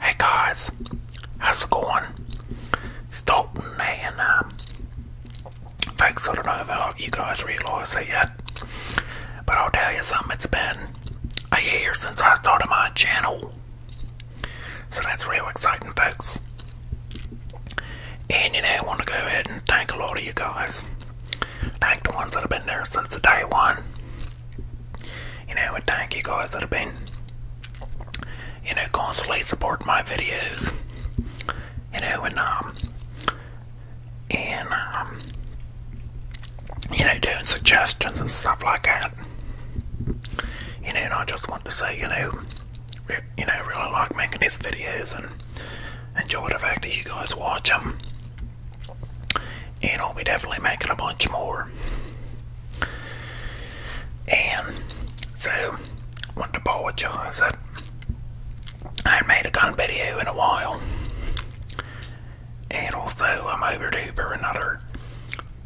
Hey guys, how's it going? Stalton man. Um, uh, folks, I don't know if you guys realize it yet, but I'll tell you something. It's been a year since I started my channel, so that's real exciting, folks. And you know, I want to go ahead and thank a lot of you guys. Thank the ones that have been there since the day one. You know, and thank you guys that have been, you know, constantly supporting my videos. You know, and um, and um, you know, doing suggestions and stuff like that. You know, and I just want to say, you know, you know, really like making these videos and enjoy the fact that you guys watch them. And I'll be definitely making a bunch more. And so, want to apologize that I have made a gun video in a while. And also, I'm overdue for another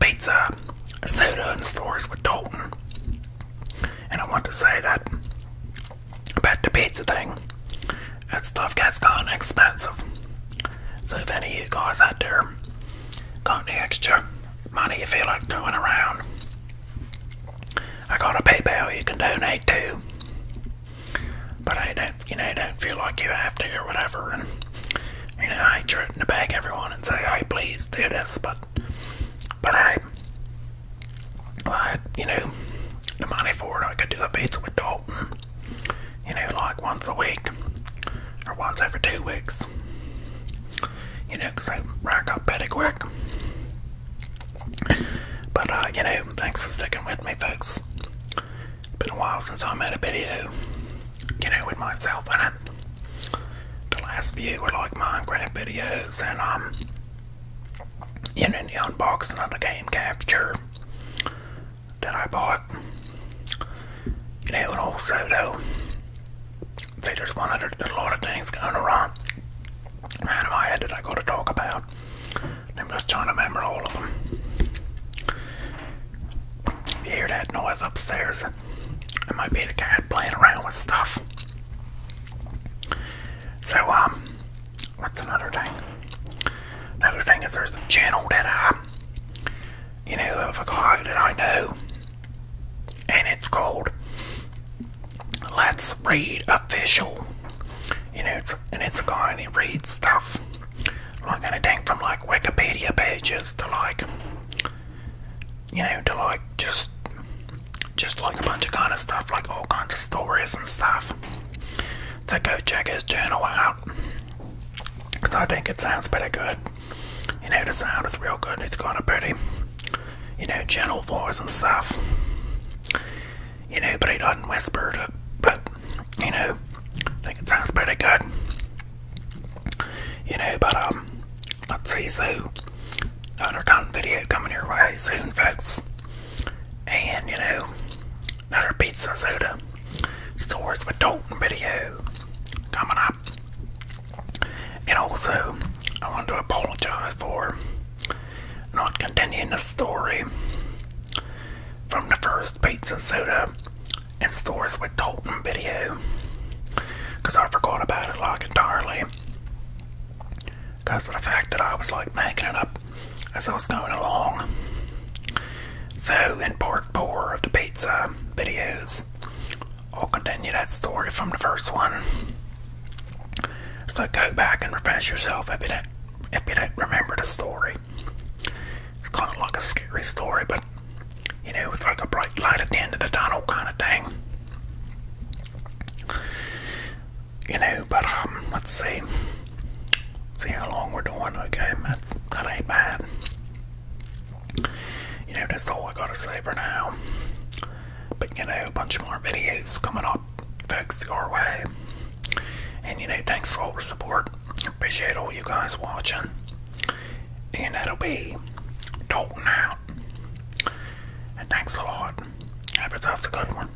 pizza soda and stories with Dalton. And I want to say that about the pizza thing, that stuff gets kind of expensive. So if any of you guys out there got any extra money you feel like throwing around, I got a PayPal you can donate to. But I don't, you know, don't feel like you have to or whatever. And you know, I ain't trying to beg everyone and say, "Hey, please do this," but but I, I, you know, the money for it, I could do a pizza with dough you know, like once a week or once every two weeks, you know, because they rack up pretty quick. But, uh, you know, thanks for sticking with me, folks. Been a while since I made a video, you know, with myself in it. The last few were like Minecraft videos and, um, you know, the unboxing of the game capture that I bought. You know, and also though, see, there's one other, a lot of things going around out of my head that I got to talk about. I'm just trying to remember all of them. you hear that noise upstairs, it might be the kid playing around with stuff. So, um, what's another thing? Another thing is there's a channel that I, you know, of a guy that I know, and it's called Let's Read Official. You know, it's, and it's a guy and he reads stuff like anything from like Wikipedia pages to like, you know, to like just just like a bunch of kind of stuff, like all kinds of stories and stuff. So go check his channel out. Because I think it sounds pretty good. You know, the sound is real good. It's got a pretty, you know, gentle voice and stuff. You know, but he doesn't whisper But, you know, think it sounds pretty good. You know, but, um, let's see. So, another content video coming your way soon, folks. And, you know, Another pizza soda. stories with Dalton video coming up. And also, I want to apologize for not continuing the story from the first pizza soda and stories with Dalton video because I forgot about it like entirely because of the fact that I was like making it up as I was going along. So, in part four of the pizza videos, I'll continue that story from the first one. So, go back and refresh yourself if you don't, if you don't remember the story. It's kind of like a scary story, but you know, with like a bright light at the end of the tunnel kind of thing. You know, but um, let's see. See how long we're doing, okay? that ain't bad. You know, that's all I gotta say for now. But you know, a bunch more videos coming up, folks, your way. And you know, thanks for all the support. Appreciate all you guys watching. And that'll be Dalton out. And thanks a lot. Have yourselves a good one.